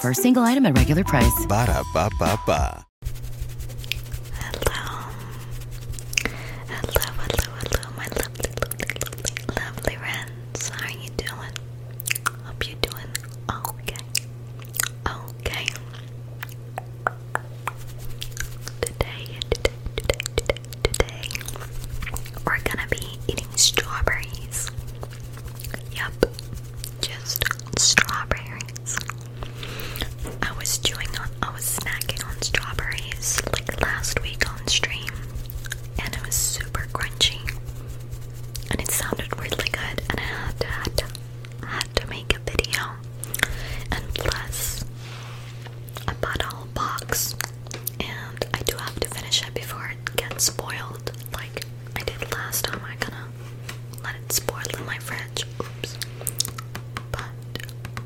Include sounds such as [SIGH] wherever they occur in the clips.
For a single item at regular price. Ba da ba ba Hello. Hello, hello, my lovely, lovely, lovely, lovely friends. How are you doing? Hope you doing okay. Okay. Today, today, today, today, today, we're gonna be eating strawberries. Yep, just strawberries. I was doing on, I was snacking on strawberries like last week on stream, and it was super crunchy, and it sounded really good, and I had to, had to, make a video, and plus I bought a whole box, and I do have to finish it before it gets spoiled, like I did last time. I am gonna let it spoil in my fridge. Oops. But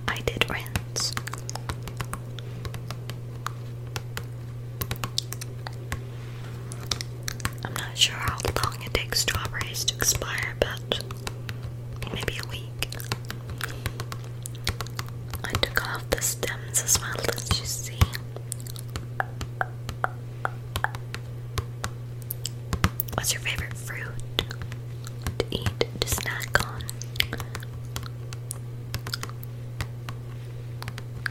I did rinse. I'm not sure how long it takes strawberries to expire, but maybe a week. I took off the stems as well, as you see. What's your favorite fruit to eat, to snack on?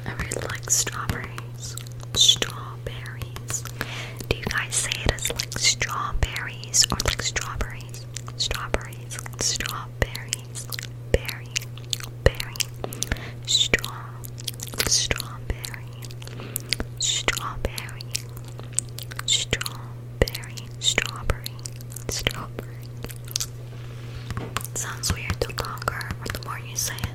I really like strawberries. Strawberries. Do you guys say it as like strawberries or like strawberries? Strawberries. Strawberries berry, berry, straw, strawberry, strawberry, strawberry, strawberry, strawberry. sounds weird the longer or the more you say it.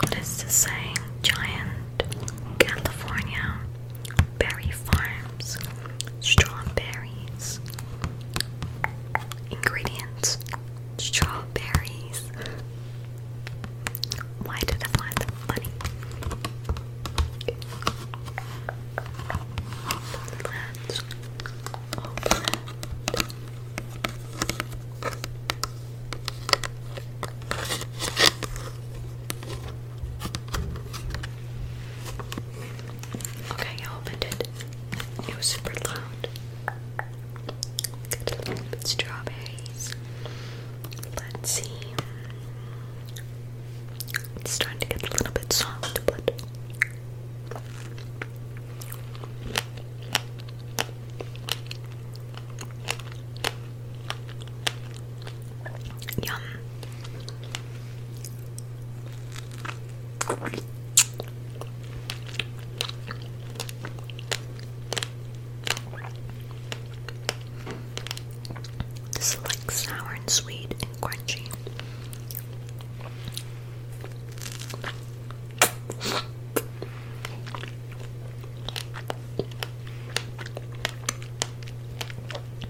What is the saying? Giant California berry farms, strawberries. Ingredients strawberries. Why did I find them funny? Okay, I opened it. It was super loud. Got a little bit Let's see. It's starting to get a little bit soft, but Yum. This is like sour and sweet and crunchy.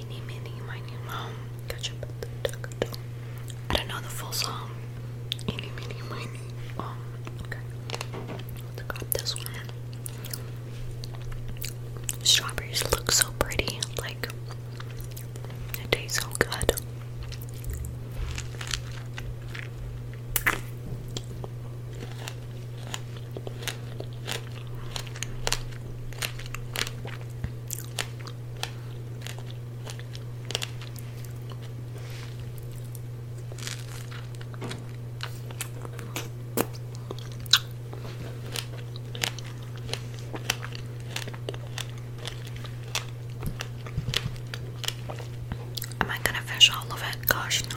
Eeny, meeny, miny, moe. Gotcha. I don't know the full song. Eeny, meeny, miny. Oh, okay. Look this one. Strawberries look so pretty. Like, taste so good. Am I gonna finish all of it? Gosh, no.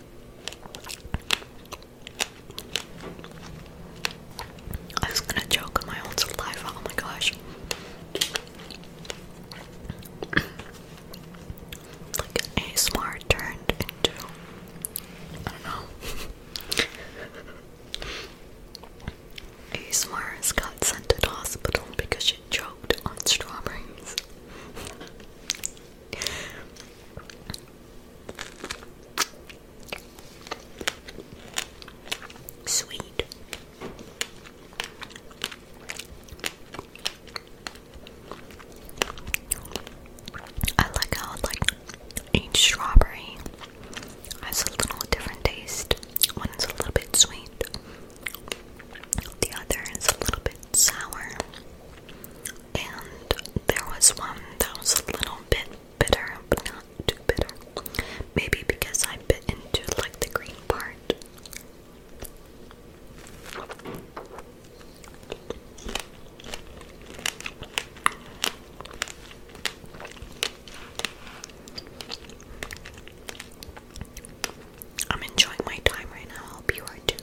I was gonna choke on my own saliva, oh my gosh. [CLEARS THROAT] Like ASMR turned into I don't know. ASMR [LAUGHS] has got sent to the hospital because she choked on strawberries. [LAUGHS] Sweet. I like how like each strawberry has a little different taste. One is a little bit sweet. The other is a little bit sour. And there was one that was a little bit bitter, but not too bitter. Maybe because I bit into like the green part. I'm enjoying my time right now. I hope you are too.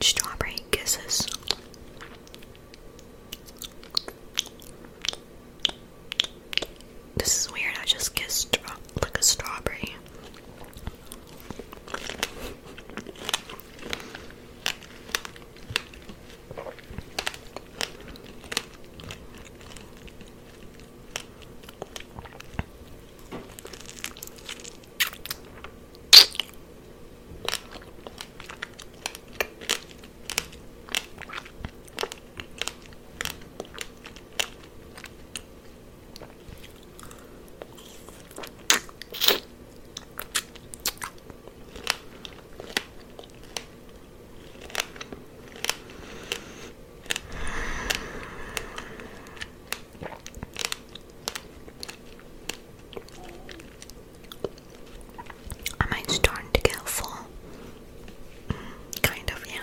Strawberry kisses. This is weird. I just kissed. Straw uh, like a strawberry. Am I starting to get full? Mm, kind of, yeah.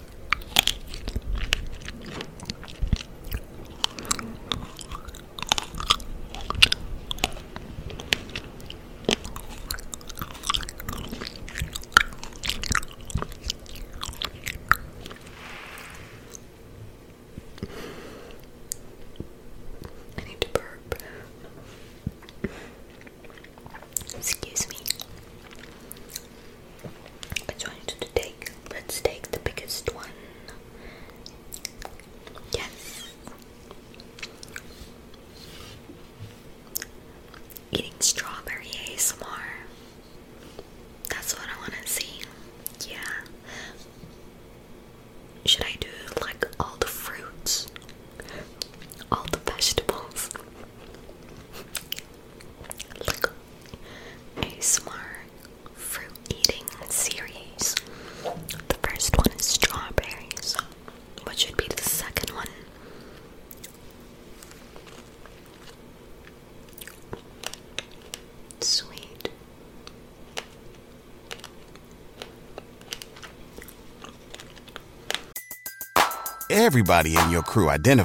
I need to burp. Excuse me. Which one should we take? Let's take the biggest one. Yes. Eating strawberry ASMR. That's what I want to see. Yeah. Should I do like all the fruits? All the vegetables? A smart fruit eating series. The first one is strawberries. What should be the second one? Sweet. Everybody in your crew identify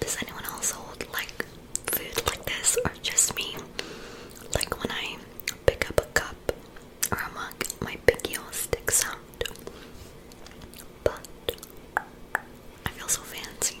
Does anyone else hold like food like this or just me? Like when I pick up a cup or a mug, my pinky all sticks out. But I feel so fancy.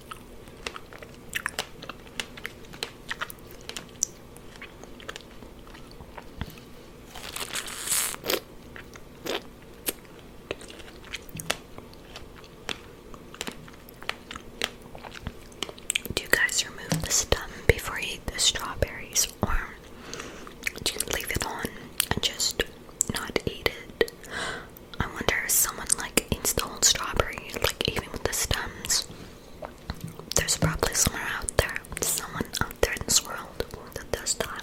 Do you guys remove the stem before you eat the strawberries, or do you leave it on and just not eat it? I wonder if someone like eats the whole strawberry, like even with the stems. There's probably somewhere out there, someone out there in this world that does that.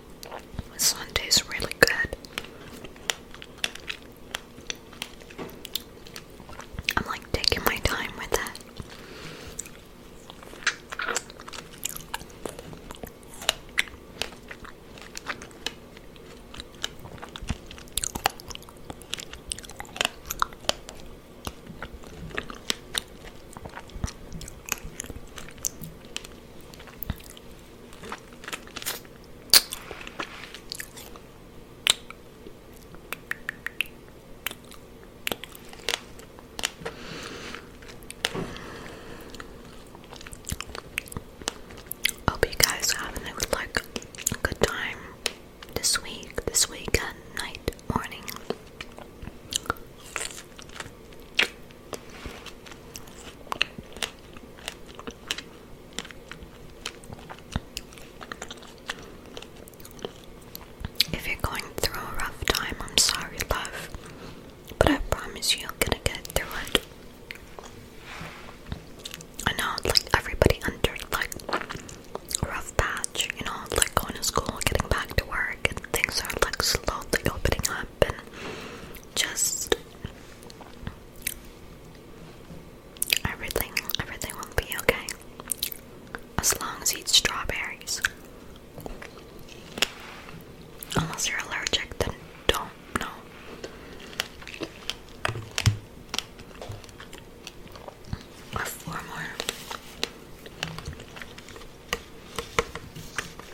This one tastes really good. I'm like taking my time with that. Hope you guys are a, like a good time this week, this weekend, night, morning. If you're going through a rough time, I'm sorry, love, but I promise you, you're gonna get through it. I know, like everybody under like rough patch, you know, like going to school, getting back to work, and things are like slowly opening up, and just Everything, everything will be okay. As long as you eat strawberries. Unless you're allergic, then don't, no. four more.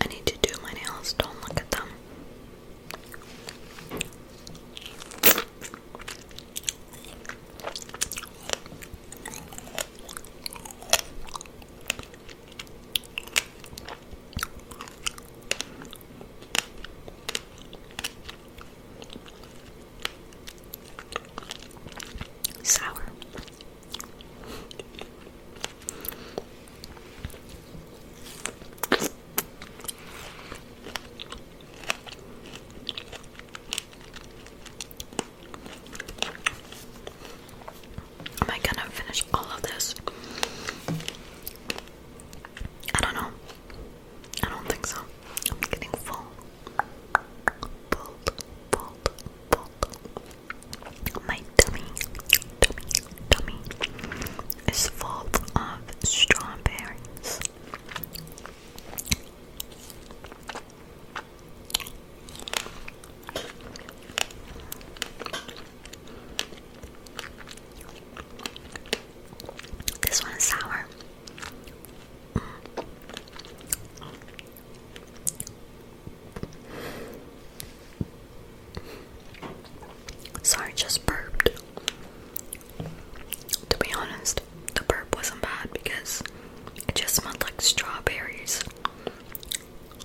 I need to do my nails, don't look at them. Sour. Am I gonna finish all of this? I don't know. I don't think so. I'm getting full. Full, full, full. My tummy, tummy, tummy is full of strawberries. This one is sour. Sorry, just burped. To be honest, the burp wasn't bad because it just smelled like strawberries.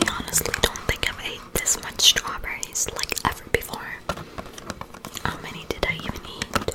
I honestly don't think I've ate this much strawberries like ever before. How many did I even eat?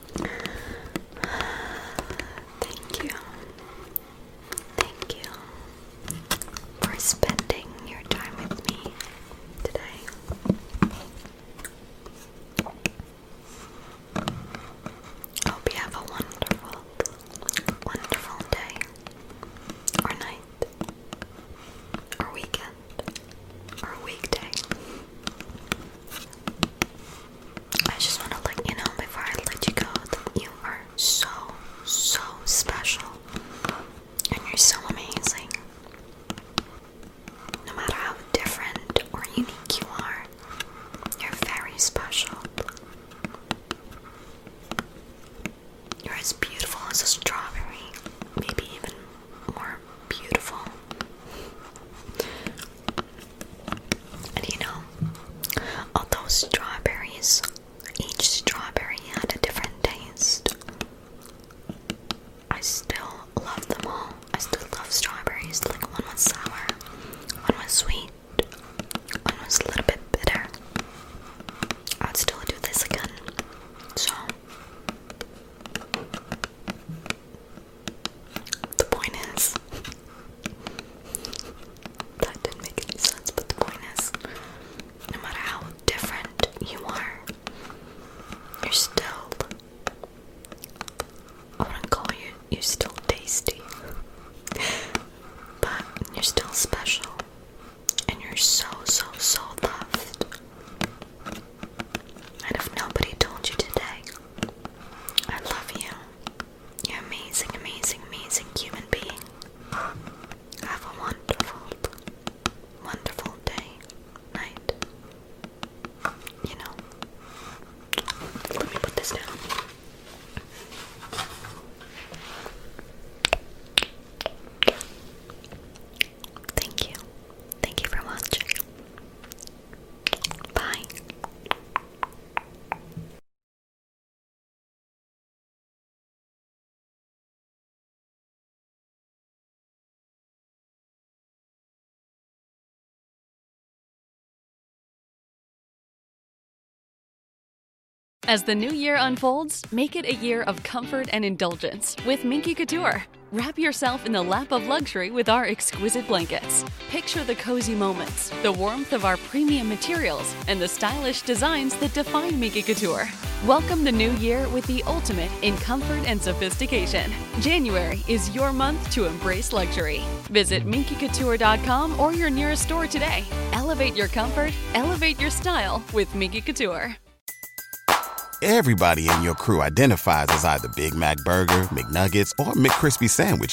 Thank you. Thank you for spending your time with me today. Hope you have a wonderful, wonderful day, or night, or weekend, or weekday. I just want to let you know before I let you go that you are so, so special and you're so amazing. No matter how different or unique you are, you're very special. You're as beautiful as a strawberry, maybe even more beautiful you know, although strawberries, each strawberry had a different taste, I still love them all. I still love strawberries. Like one was sour, one was sweet, one was a little bit bitter. I would still do this again. So the point is, that didn't make any sense, but the point is, no matter how different you are, you're still, I wouldn't call you, you're still tasty, but you're still special, and you're so, so, so loved. And if nobody told you today, I love you amazing, amazing, amazing human being. Have a wonderful, wonderful day, night. You know. Let me put this down. Thank you. Thank you for watching. Bye. As the new year unfolds, make it a year of comfort and indulgence with Minky Couture. Wrap yourself in the lap of luxury with our exquisite blankets. Picture the cozy moments, the warmth of our premium materials, and the stylish designs that define Miki Couture. Welcome the new year with the ultimate in comfort and sophistication. January is your month to embrace luxury. Visit MinkyCouture.com or your nearest store today. Elevate your comfort, elevate your style with Miki Couture. Everybody in your crew identifies as either Big Mac Burger, McNuggets, or McCrispy Sandwich